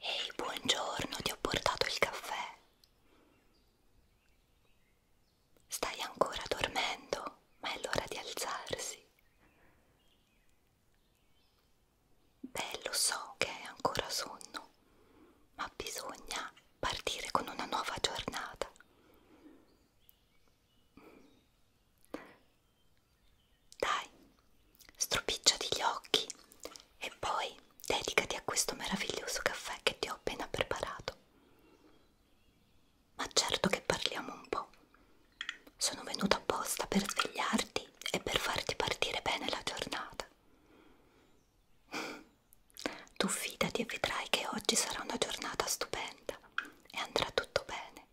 Ehi, buongiorno, ti ho portato il caffè. Stai ancora dormendo, ma è l'ora di alzarsi. Beh, lo so che è ancora sonno, ma bisogna partire con una nuova giornata. Dai, stropicciati gli occhi e poi dedicati a questo meraviglioso caffè che ti ho appena preparato. Ma certo che parliamo un po'. Sono venuto apposta per svegliarti e per farti partire bene la giornata. Tu fidati e vedrai che oggi sarà una giornata stupenda e andrà tutto bene.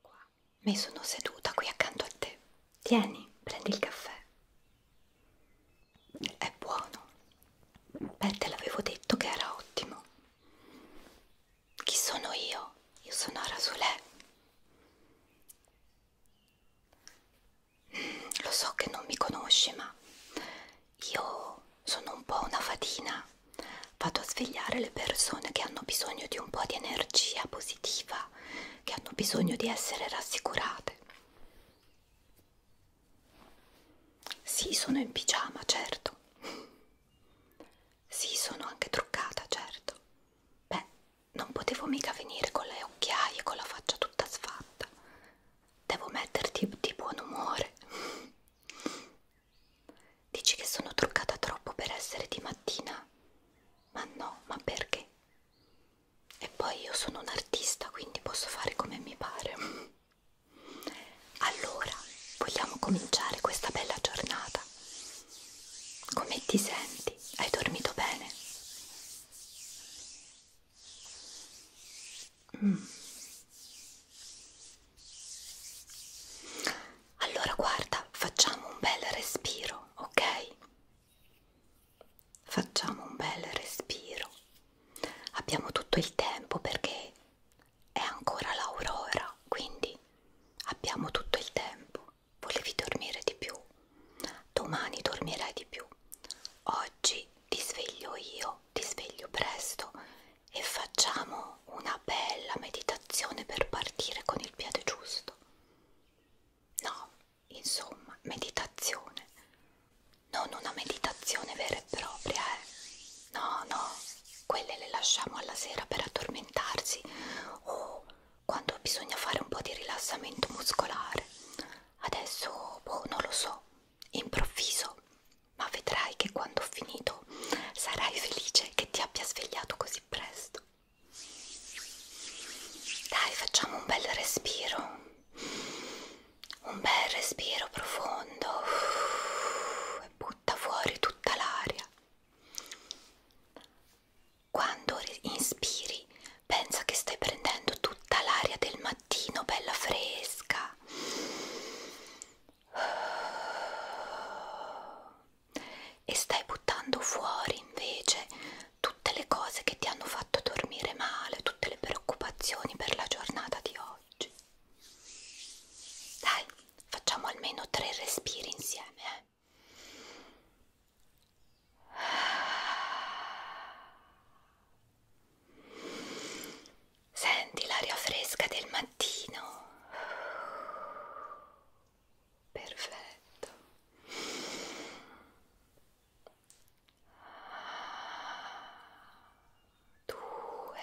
Qua. Mi sono seduta qui accanto a te. Tieni, prendi il caffè. È buono. Beh, te l'avevo detto che era ottimo. Chi sono io? Io sono Rasulè. Mm, lo so che non mi conosci, ma io sono un po' una fatina, vado a svegliare le persone che hanno bisogno di un po' di energia positiva, che hanno bisogno di essere rassicurate. Sì, sono in pigiama, certo. Sì, sono anche truccata, certo. Beh, non potevo mica venire con le occhiaie, con la faccia tutta sfatta. Devo metterti di buon umore. Dici che sono truccata troppo per essere di mattina? Ma no, ma perché? E poi io sono un artista, quindi posso fare come mi pare. Allora, vogliamo cominciare questa bella giornata? Come ti senti? Hai dormito bene? Mm. Allora guarda, facciamo un bel respiro, ok? Facciamo un bel respiro. Abbiamo tutto il tempo perché è ancora l'aurora, quindi abbiamo tutto il tempo. Volevi dormire di più? Domani dormirai di più. Oggi ti sveglio io, ti sveglio presto e facciamo una bella meditazione per partire con il piede giusto. No, insomma, meditazione. Non una meditazione vera e propria, eh. No, no, quelle le lasciamo alla sera per addormentarsi o oh, quando bisogna fare un po' di rilassamento muscolare. Adesso, boh, non lo so, improvviso, ma vedrai che quando ho finito sarai felice che ti abbia svegliato così presto. Dai, facciamo un bel respiro, un bel respiro profondo e butta fuori tutta l'aria. Quando inspiri, pensa che stai prendendo tutta l'aria del mattino, bella fresca, bocca e stai buttando fuori invece tutte le cose che ti hanno fatto dormire male, tutte le preoccupazioni per la giornata di oggi. Dai, facciamo almeno tre respiri insieme. Eh? Senti l'aria fresca del mattino. Perfetto. Due.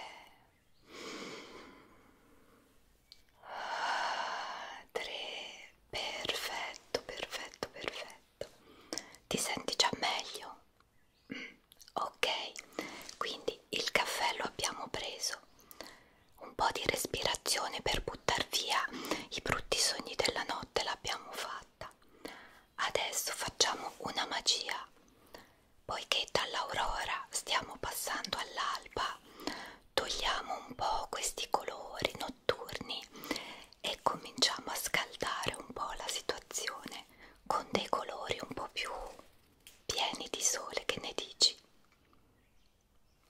Tre. Perfetto, perfetto, perfetto. Ti senti già meglio? ok quindi il caffè lo abbiamo preso un po' di respirazione per buttare via i brutti sogni della notte l'abbiamo fatta adesso facciamo una magia poiché dall'aurora stiamo passando all'alba togliamo un po' questi colori notturni e cominciamo a scaldare un po' la situazione con dei colori un po' più pieni di sole, che ne dici?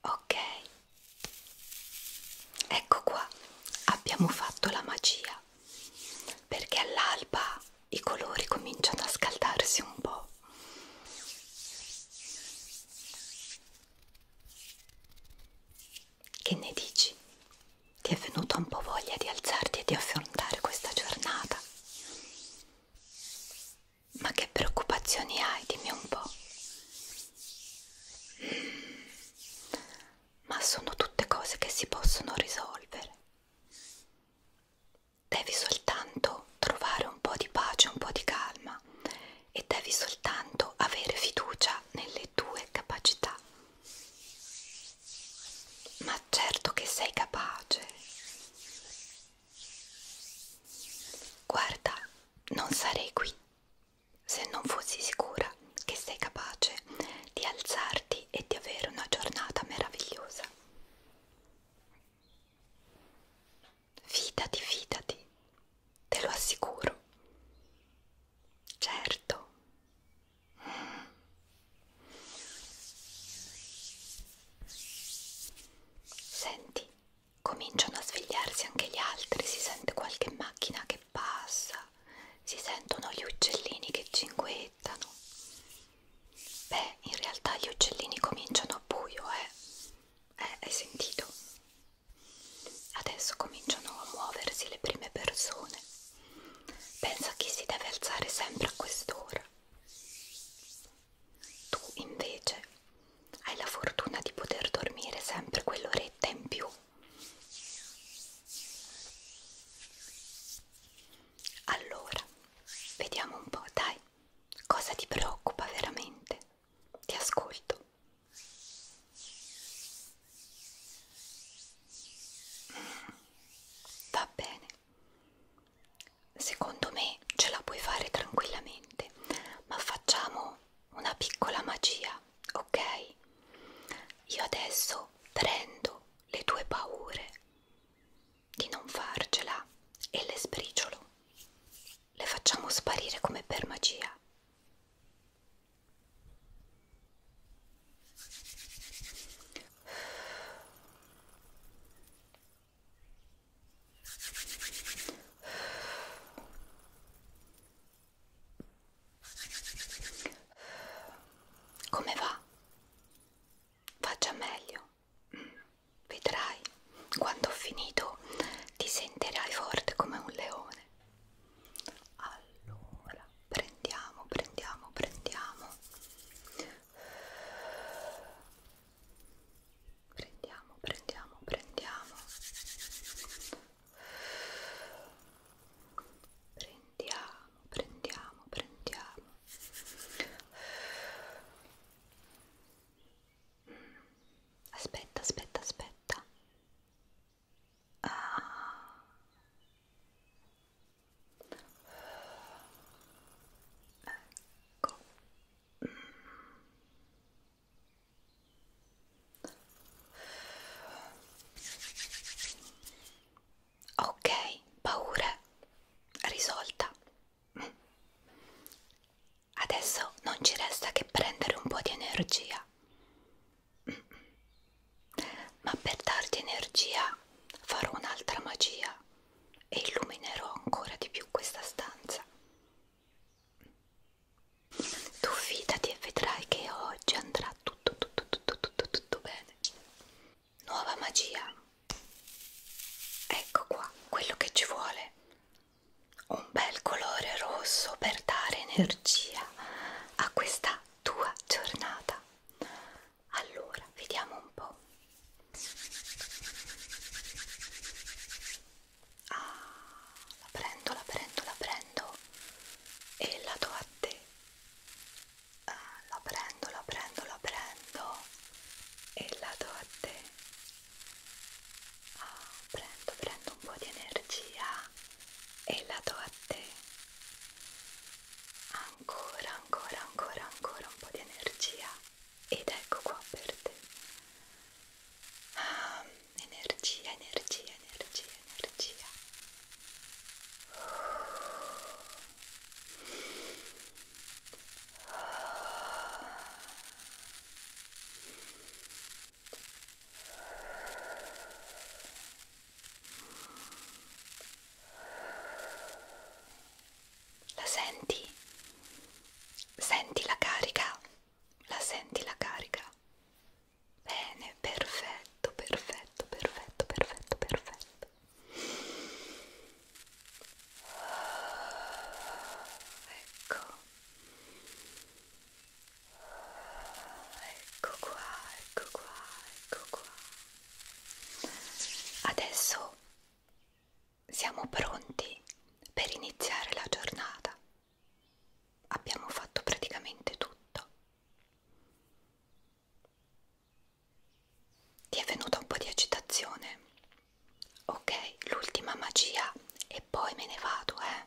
Ok, ecco qua, abbiamo fatto la magia perché all'alba i colori cominciano a scaldarsi un po'. Che ne dici? ti è venuta un po' voglia di alzarti e di affrontare questa giornata. Ma che preoccupazioni hai, dimmi un po'. Ma sono tutte cose che si possono risolvere. Devi soltanto trovare un po' di pace, un po' di calma e devi soltanto avere fiducia nelle tue capacità ma certo che sei capace. Guarda, non sarei qui se non fossi sicura che sei capace di alzarti e di avere una giornata meravigliosa. Fidati, fidati, te lo assicuro. Certo, Senti, cominciano a svegliarsi anche gli altri, si sente qualche macchina che passa, si sentono gli uccellini che cinguettano. Beh, in realtà gli uccellini cominciano a buio, eh? Eh, hai sentito? Adesso cominciano a muoversi le prime persone. Pensa che si deve alzare sempre a quest'ora. Tu invece hai la fortuna di poter dormire sempre quell'oretta in più. Allora, vediamo un po', dai, cosa ti preoccupa veramente? Ti ascolto. Va bene. Secondo me ce la puoi fare tranquillamente, ma facciamo una piccola magia, ok? Io adesso prendo le tue paure di non farcela e le sbriciolo. Le facciamo sparire come per magia. Come va? Faccia meglio, vedrai, quando ho finito ti sentirai forte come un leone allora prendiamo prendiamo prendiamo prendiamo prendiamo prendiamo prendiamo prendiamo prendiamo aspetta aspetta aspetta Ah. Ecco. Ok, paura risolta. Adesso non ci resta che prendere un po' di energia. Mm. Ma per darti energia farò un'altra magia e illuminerò ancora di più questa stanza. Tu fidati e vedrai che oggi andrà tutto tutto tutto tutto tutto bene. Nuova magia. Ecco qua quello che ci vuole un bel colore rosso per dare energia a questa tua giornata allora vediamo un po' ah, la prendo la prendo la prendo e la do a te ah, la prendo la prendo la prendo e la do a te Oh, prendo, prendo un po' di energia e la do a te. Ancora, ancora, ancora, ancora un po' di energia ed ecco qua per te. Ah, energia, energia, energia, energia. La senti? Senti la carica? La senti la carica? Bene, perfetto, perfetto, perfetto, perfetto, perfetto. Ecco. Ecco qua, ecco qua, ecco qua. Adesso siamo pronti per iniziare la giornata. Abbiamo fatto praticamente tutto. Ti è venuta un po' di agitazione? Ok, l'ultima magia e poi me ne vado, eh.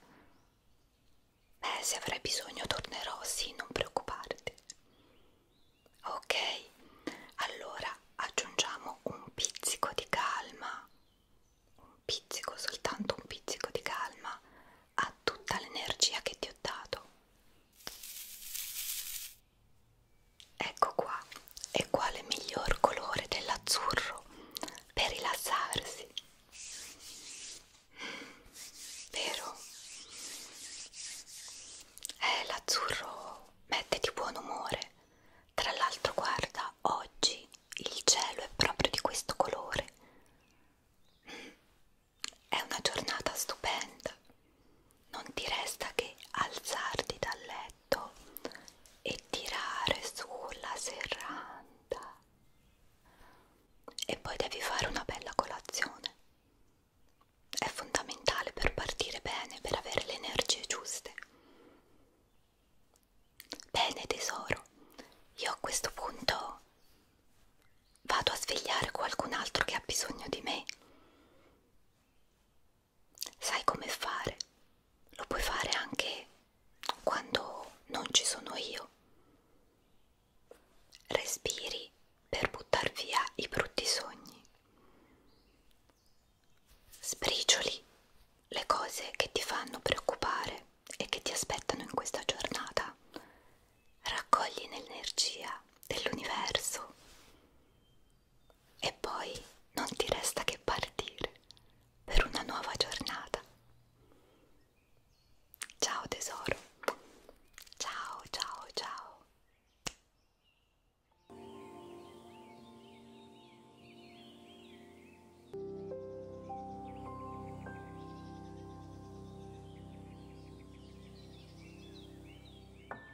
Beh, se avrai bisogno tornerò, sì, non preoccuparti. Ok, allora aggiungiamo un pizzico di calma, un pizzico, soltanto un pizzico di calma a tutta l'energia che ti ho dato. Ecco qua, e quale miglior colore dell'azzurro per rilassarsi? Vero? Eh, l'azzurro mette di buon umore. Tra l'altro, guarda, oggi il cielo è proprio di questo colore. È una giornata stupenda. Non ti resta che alzarti dal letto petto e tirare sulla serranda e poi devi fare una bella colazione è fondamentale per partire bene per avere le energie giuste bene tesoro io a questo punto vado a svegliare qualcun altro che ha bisogno di me sai come fare, lo puoi fare anche quando non ci sono io. Respiri per buttar via i brutti sogni. Sbricioli le cose che ti fanno preoccupare e che ti aspettano in questa giornata. Raccogli l'energia dell'universo e poi non ti resta che partire per una nuova giornata. Ciao tesoro. Ciao, ciao, ciao.